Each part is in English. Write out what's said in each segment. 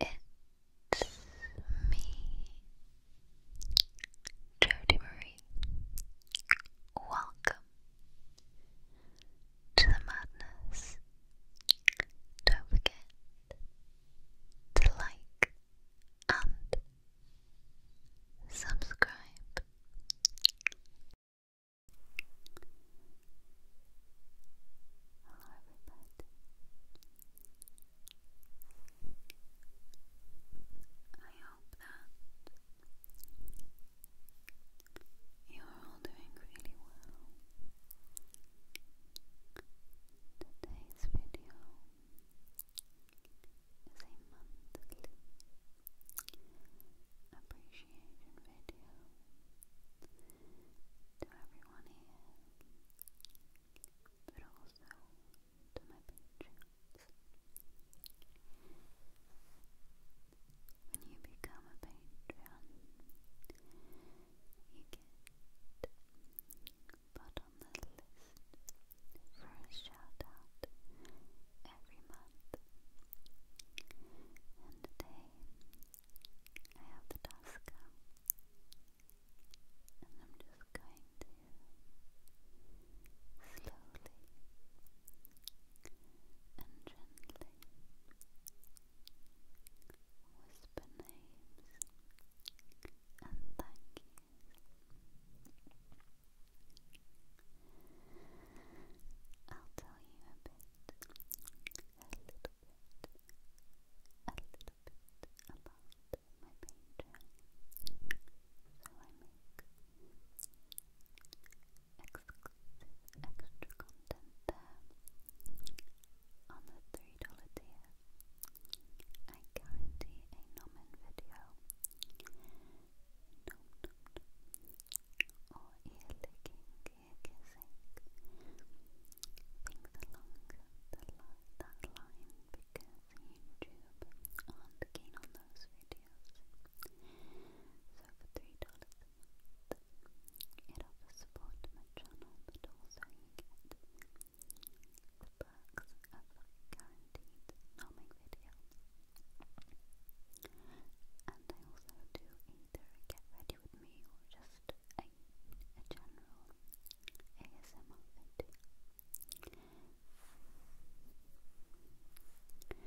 It's me, Jody Marie. Welcome to the madness. Don't forget to like and subscribe. Hello, everybody. I hope that you are all doing really well. Today's video is a monthly appreciation video to everyone here but also to my patrons. When you become a patron, you get put on the list for a shout every month. And today I have the Tosca, and I'm just going to slowly and gently whisper names and thank yous. I'll tell you a bit bit about my painting. So I make exclusive extra content there on the $3 tier. I guarantee a nomin video. Or ear licking, ear along the, that line because YouTube are keen on those videos. So for $3 it offers support my channel but also you the perks of guaranteed numbing videos. And I also do either get ready video with me or just a, a general ASMR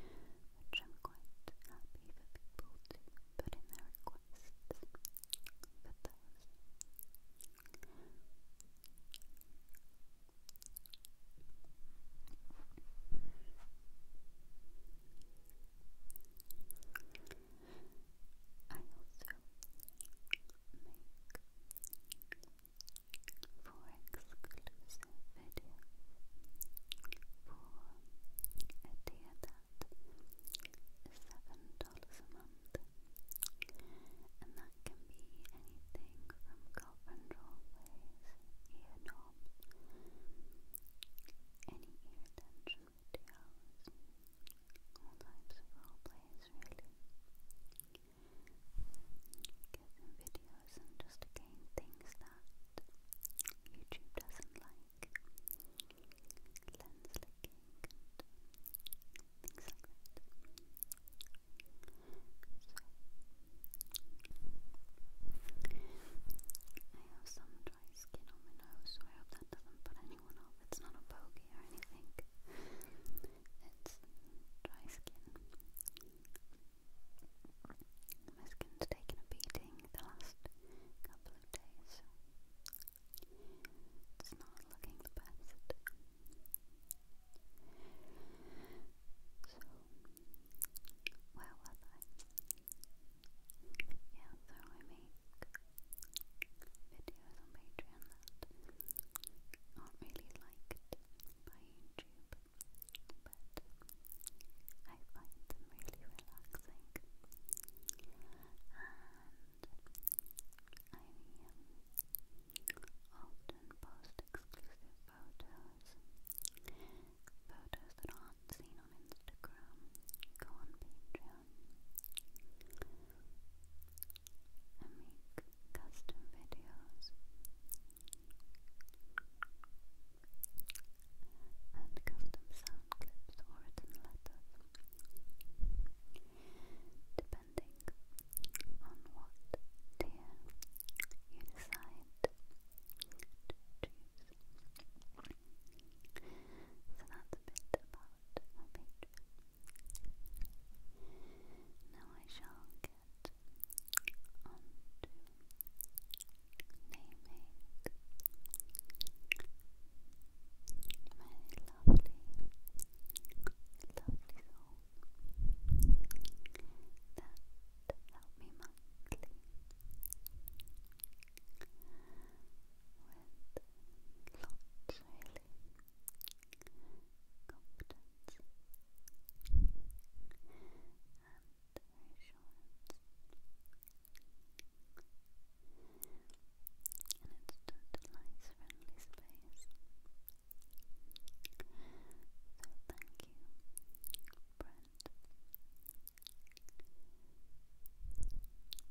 Which I'm quite happy for people to put in their requests for those. I also make four exclusive videos for a tier that is seven dollars a month, and that can be anything from girlfriend roleplays, ear knobs, any ear attention videos, all types of role plays really. Get videos and just again things that YouTube doesn't like. Lens licking things like I have some dry skin on my nose, so I hope that doesn't put any one off. It's not a bogey or anything. It's dry skin. My skin's taken a beating the last couple of days. It's not looking the best. So, where was I? Yeah, so I make videos on Patreon that aren't really liked by YouTube, but I find them really relaxing. And I often post exclusive photos, photos that aren't seen on Instagram, go on Patreon and make custom videos and custom sound clips or written letters depending on what tier you decide to choose. So that's a bit about out on Now I shall get on naming my lovely, lovely soul that helped me monthly with lots really confidence and reassurance and it's a nice friendly space so thank you Brent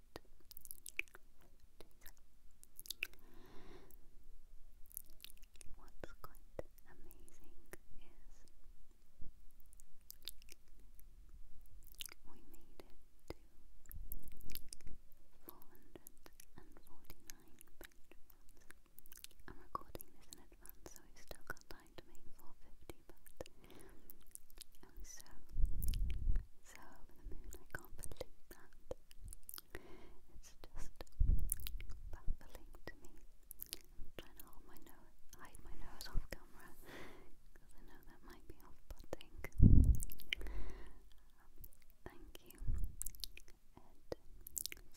What's quite amazing is we made it to 449 I'm recording this in advance, so we still got time to make 450, but so, so over the moon, I can't believe that. It's just baffling to me. I'm trying to hold my nose, hide my nose off camera I know that might be off-putting. thank you, Seven,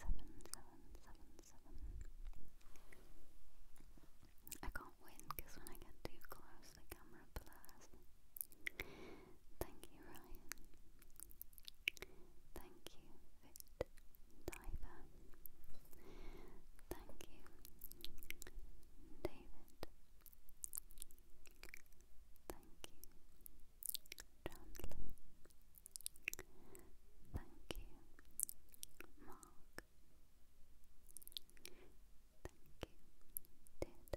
seven, seven, seven. I can't win because when I get too close, the camera blurs. Thank you, Ryan. Thank you, Fit Thank you, David. Thank you, Chandler. Thank you, Mark. Thank you, Deirdre.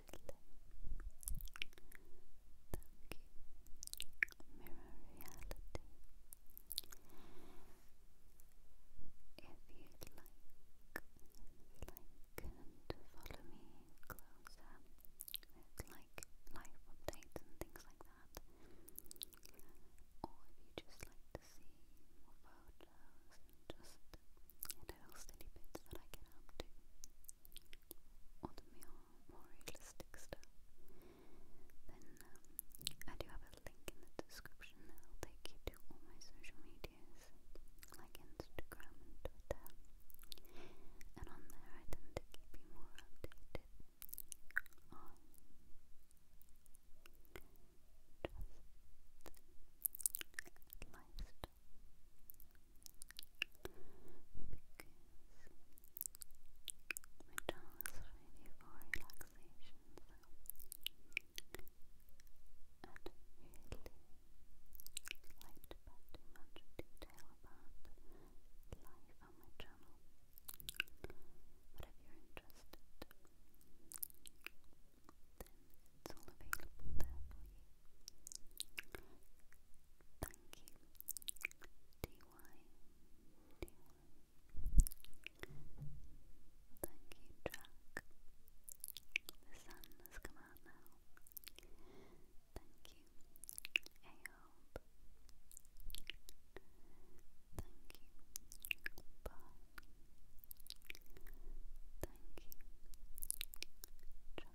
mirror reality. If you'd like, like and follow me closer with like life updates and things like that, or if you just like to see more photos and just little silly bits that I get up to, or the more, realistic stuff, then um, I do have a link in the description that'll take you to all my social medias, like Instagram and Twitter, and on there I tend to keep more updated because my doll is ready for relaxation, so I'd really much detail about life on my channel. But if you're interested, then it's all available there for you. The sun has come out now. Thank you, Aob. Thank you, Bon. Thank you, Trust.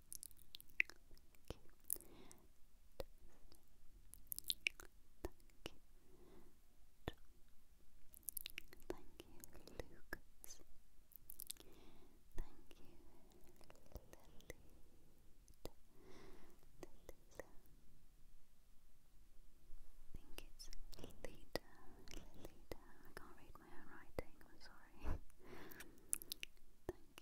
Thank you, Lolita. Thank you, Lolita. Thank you, Lolita. Thank you, Lolita. Thank you, Lolita. Thank you, Lolita. Thank you,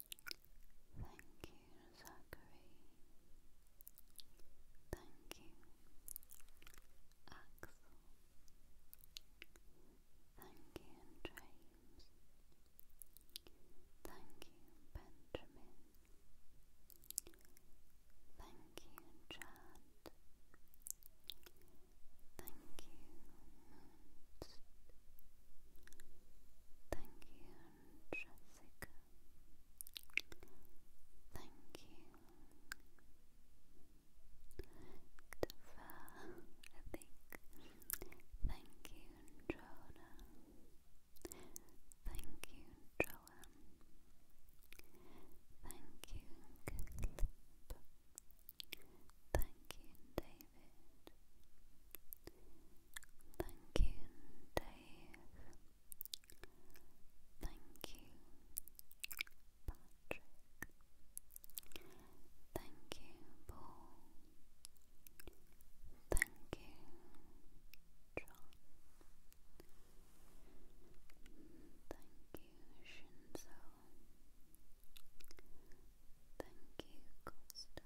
Thank you, Zachary. Thank you, Axel. Thank you, James. Thank you, Benjamin. Thank you, Chad. Thank you, Thank you, Jessica. Thank you. Defer, I think. Thank you, Jonah. Thank you, Joanne. Thank you, Clip. Thank you, David. Thank you, Dave. Thank you, Patrick. Thank you, Paul. Thank you, John. Thank you, Shinzo. Thank you, Costax. Thank you, Extipa.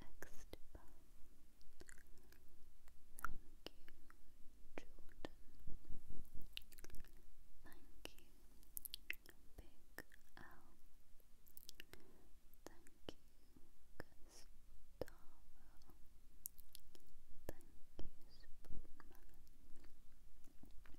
Thank you, Jordan. Thank you, Big Al. Thank you, Gustavo. Thank you, Spoonman.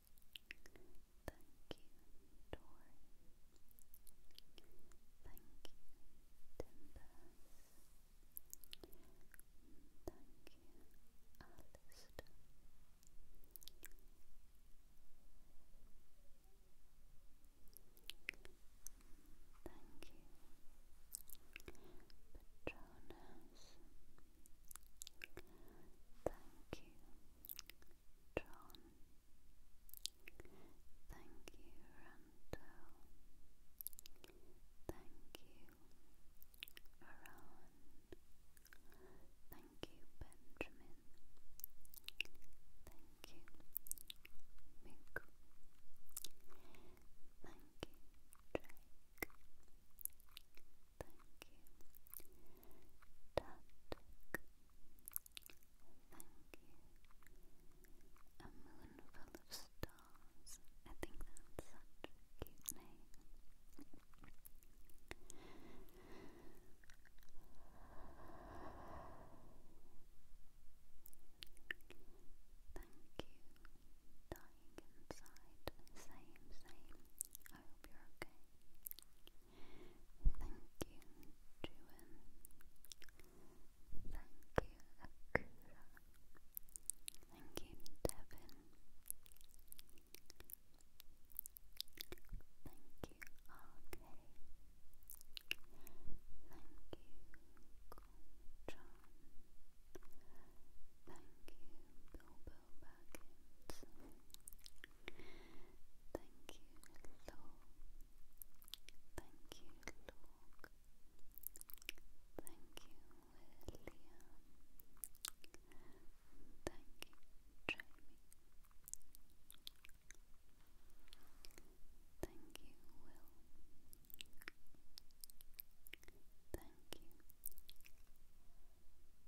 Thank you, Dory. Thank you, Timbers. Thank you, Alistair. Thank you, Petronas. Thank you, John. Thank you, Randall. Thank you, Aran. Thank you, Benjamin. Thank you, Mook. Thank you, Drake. Thank you, Tatic. Thank you. A moon full of stars. I think that's such a cute name. Thank you. Dying inside. Same, same. I hope you're okay. Thank you, Juan. Thank you, Akira. Thank you, Devin. Thank you, RK. Thank you, John. Thank you, Bilbo Baggins. Thank you, Lord. Thank you, Lord. Thank you, William. Thank you, Jamie. Thank you, Will. Thank you.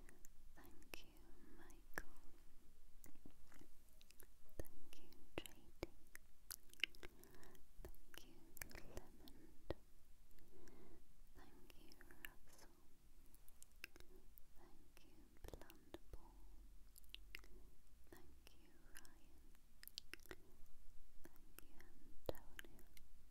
Thank you, Michael. Thank you, Trading. Thank you, Clement. Thank you, Russell. Thank you, Blunderball. Thank you, Ryan. Thank you, Antonio.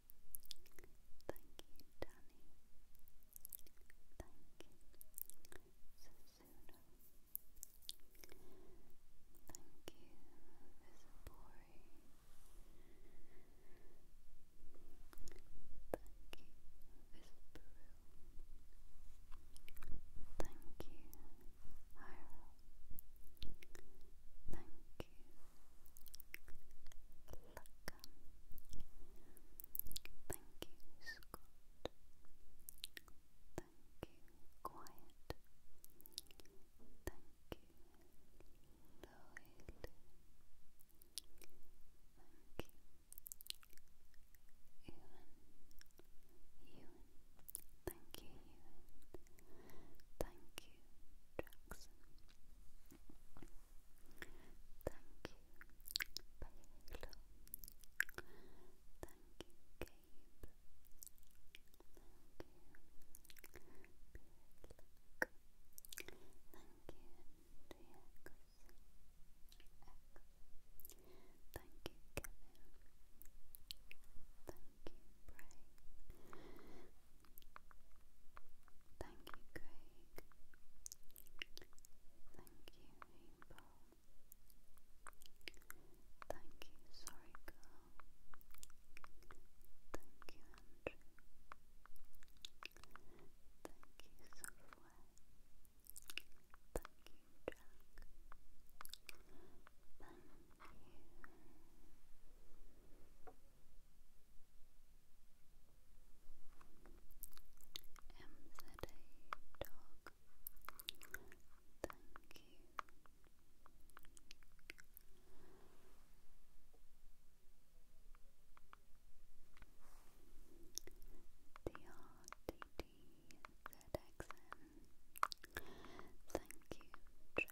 Thank you, Danny. Thank you, Susuno. Thank you, Visipori. Thank you, Visperu. Thank you, Hyro. Thank Thank you, Scott. Thank you, Quiet. Thank you, Lloyd. Thank you, Ewan. Ewan. Thank you, Ewan. Thank you, Jackson. Thank you, Paolo. Thank you, Gabe. Thank you, Beardluck. Thank you, DX. Thank you, Kevin. Thank you, Bray. Thank you, Gray. Thank you, Rainbow. Thank you, Sorry Girl. Thank you, Andrew. Thank you, Software. Thank you, Jack. Thank you. Dog. Thank you. DRDDZXN. Thank you, James.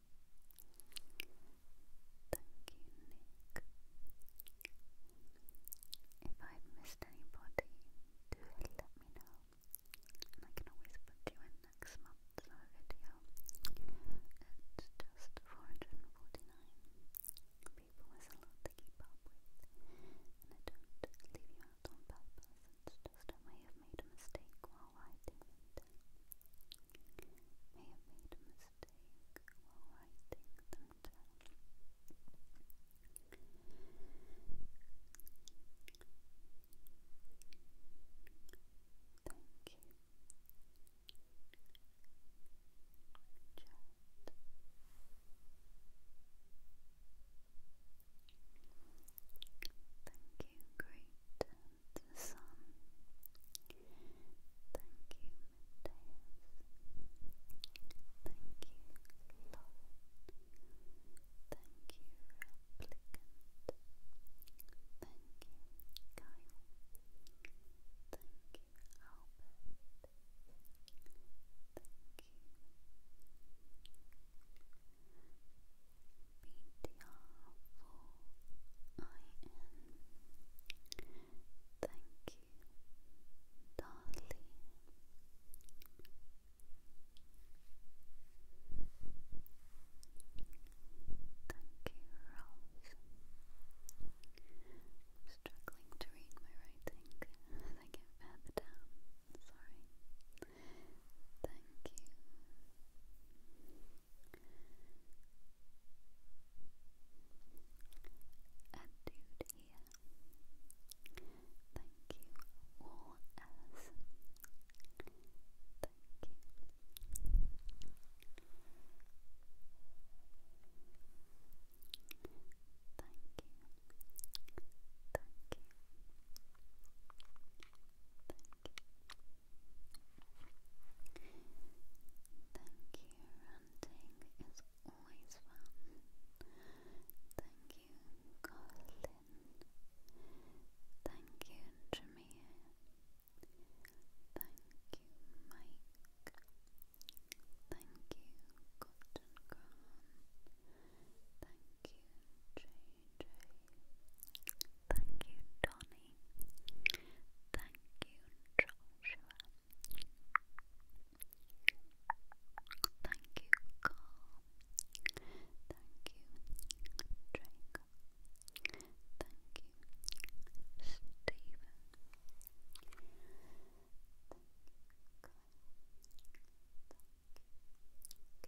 Nick. If I've missed anybody, do let me know. I can always put you in next month's video. It's just 449 people is a lot to keep up with. And I don't leave you out on purpose, just I may have made a mistake while writing May have made a mistake while writing Thank you. Chat. Thank you, great the sun. Thank you, Mateus. Thank you, Lauren. Thank you, applicant. Thank you, Kyle. Thank you, Albert. Thank you. Thank you, darling. Thank you, Rose. struggling to read my writing as I get further down. Sorry. Thank you a dude here. Thank you all as thank you. Thank you. Thank you. Thank you. Thank you, ranting is always fun. Thank you, Colin. Thank you, Jamir. Thank you, Mike. Thank you, Cotton Graham. Thank you, Jay. Thank you, Donnie. Thank you, Joshua. Thank you, Carl. Thank you, Draco. Thank you, Stephen. Thank you, Kyle.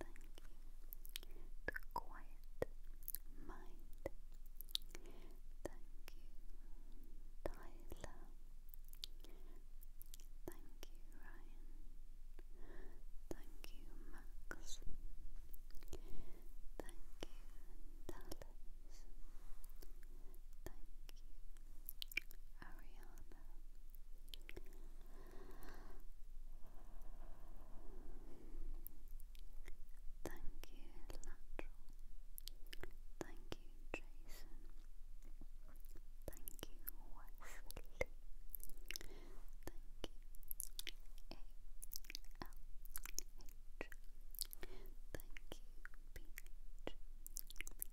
Thank you. The quiet mind. Thank you, Tyler. Thank you, Ryan. Thank you, Max. Thank you, Dallas. Thank you, Ariana Thank you, Lateral. Thank you, Jason. Thank you, Wesley. Thank you, A L H. Thank you, B H. Thank you,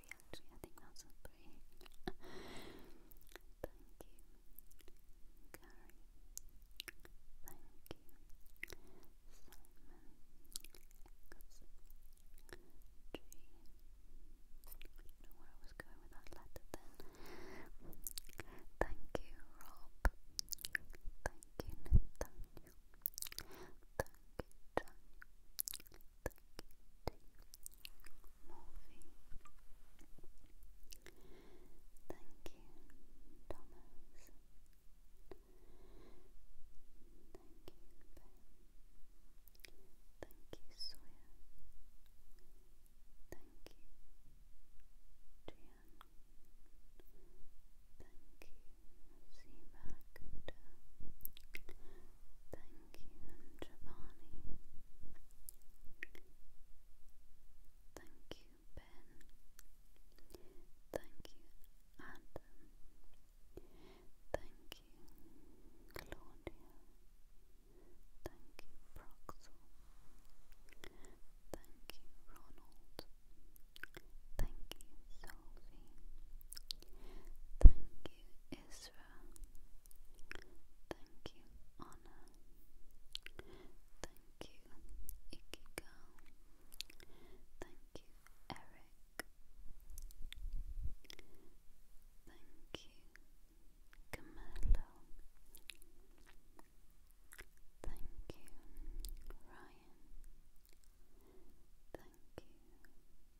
actually, I think that's a Thank you, Gary. Thank you, Simon X. G. I don't know where I was going with that letter Thank you, Rob. Thank you, Nathaniel. Thank you, Thank you, Morphe. Thank you, Thomas. Thank you, Ben. Thank you, Sawyer. Thank you, Gian. Thank you, C. Thank you, Giovanni. Thank you, Ben. Thank you, Adam. Thank you, Claudia. Thank you, Proxel. Thank you, Ronald. Thank you, Sophie. Thank you, Israel. Thank you, Anna. Thank you, Ikigo. Thank you, Eric. Thank you, Camilo. Thank you, Ryan. Thank you,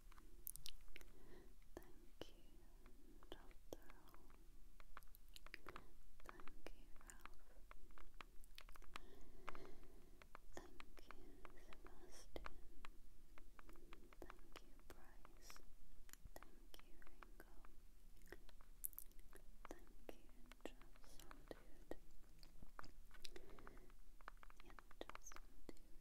Thank you, Doctor. Thank you, Ralph. Thank you, Sebastian. Thank you, Bryce. Thank you, Ringo. Thank you, Justin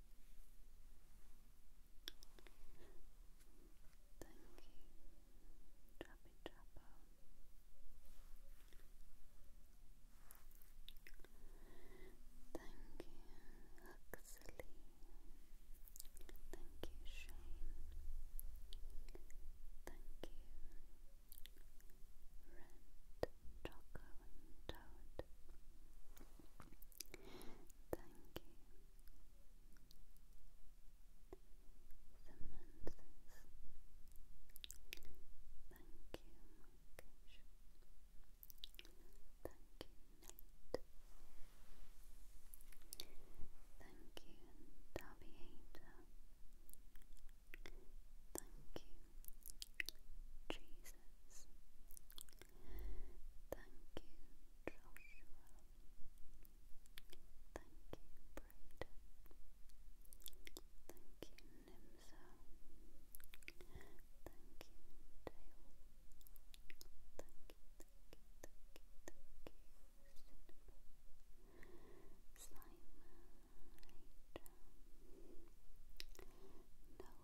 Thank you, Trappy Trapper. Thank you, Huxley. Thank you, Shane. Thank you, Red Choco Toad. Thank you. Samantha's. Thank you, Thank you, Thank you, Daviator. Thank you, Jesus. Thank you, Joshua. Thank you, Braden. Thank you, Nimsa. Thank you, Dale. Thank you, thank you, thank you, thank you, Simon. No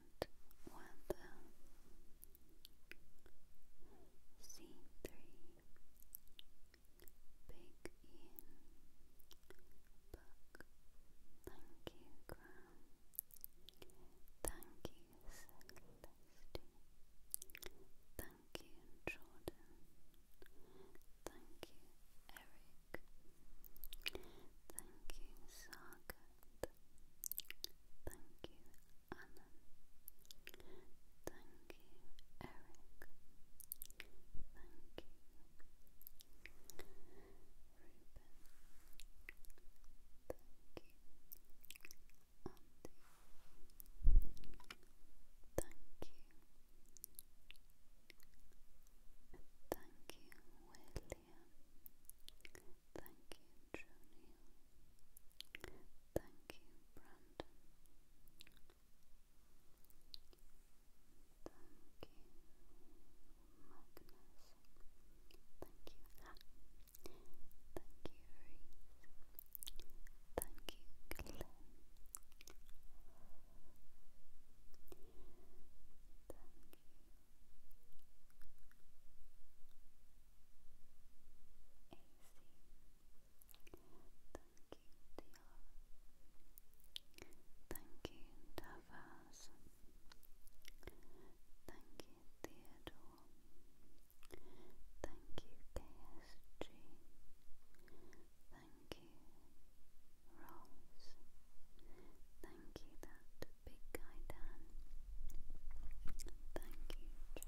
and the C3 Big Thank you Graham Thank you Celeste Thank you Jordan Thank you Eric Thank you, Sagat. Thank you, Annan. Thank you, Eric. Thank you, Ruben. Thank you, Andy. Thank you. Thank you. Thank you, Joni. Thank you, Brandon. Thank you, Magnus. Thank you, Thank you, Reese. Thank you, Glenn. Thank you, Thank you, Tavas. Thank you, Theodore. Thank you, KSG. Thank you, rolls. Thank you, that big guy Dan. Thank you, Jake. Thank you, Dennis.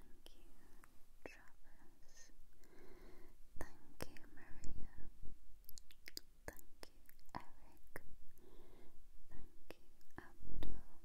Thank you, Travis. Thank you, Maria. Thank you, Eric. Thank you, Abdul. Thank you, Joan.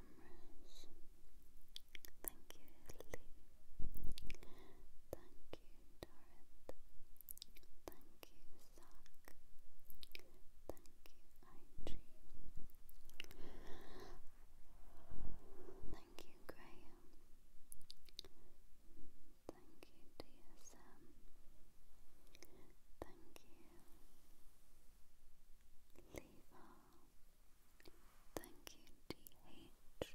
Thank you, Lee. Thank you, Dorrit. Thank you, Zach. Thank you, IG. Thank you, Graham. Thank you, DSM. Thank you, Leva. Thank you, DH.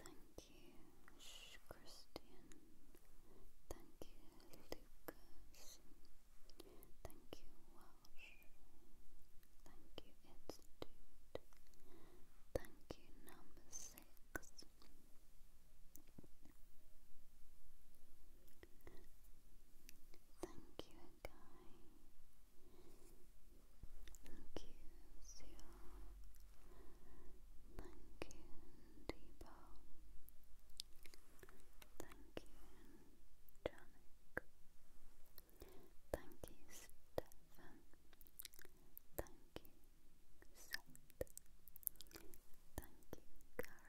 Thank you, Christian. Thank you, Lucas. Thank you, Welsh. Thank you, Institute. Thank you, number six. Thank you, Guy. Thank you, Sio. Thank you, Debo. Thank you, Janik. Thank you, Stefan. Thank you, Seth. Thank you, Gary.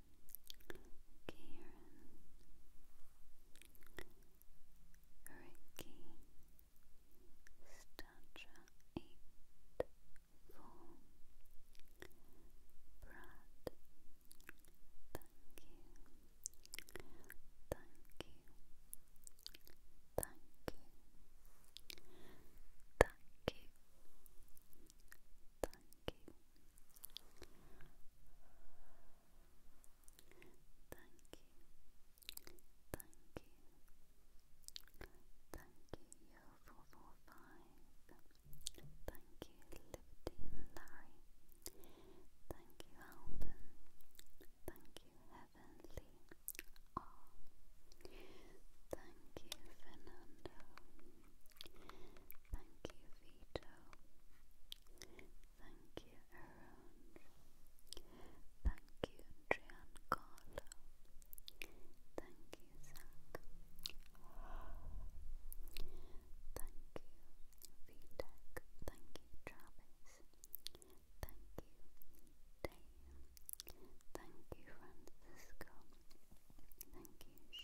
Karen, Ricky, Statra eight four, Brad, thank you, thank you, thank you, thank you. Thank you. Thank you. Thank you. Thank you, Yo four four five. Thank you, Libertine Larry. Thank you, Alban. Thank you, Heavenly R. Thank you, Fernando. Thank you, Vito. Thank you, Aaron. Thank you, Giancarlo. Thank you, Zach. Thank you, VTech. Thank you, Travis. Thank you, Dave. Thank you, Francisco. Thank you,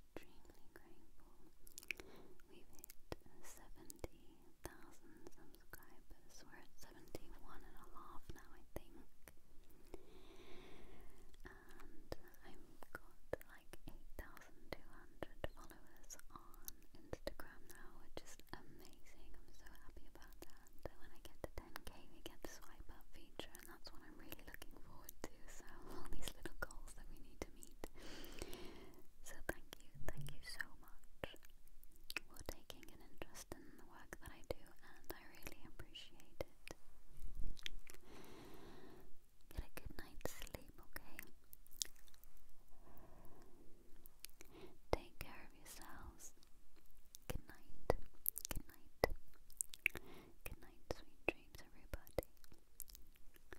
extremely grateful. We've hit 70,000 subscribers. We're at 71 now, I think. And I've got like 8,200 followers on Instagram now, which is amazing. I'm so happy about that. So when I get to 10k, we get the swipe up feature, and that's what I'm really looking forward to. So all these little goals that we need to meet so thank you, thank you so much for taking an interest in the work that I do and I really appreciate it. Get a good night's sleep, okay? Take care of yourselves. Good night. Good night. Good night, sweet dreams, everybody.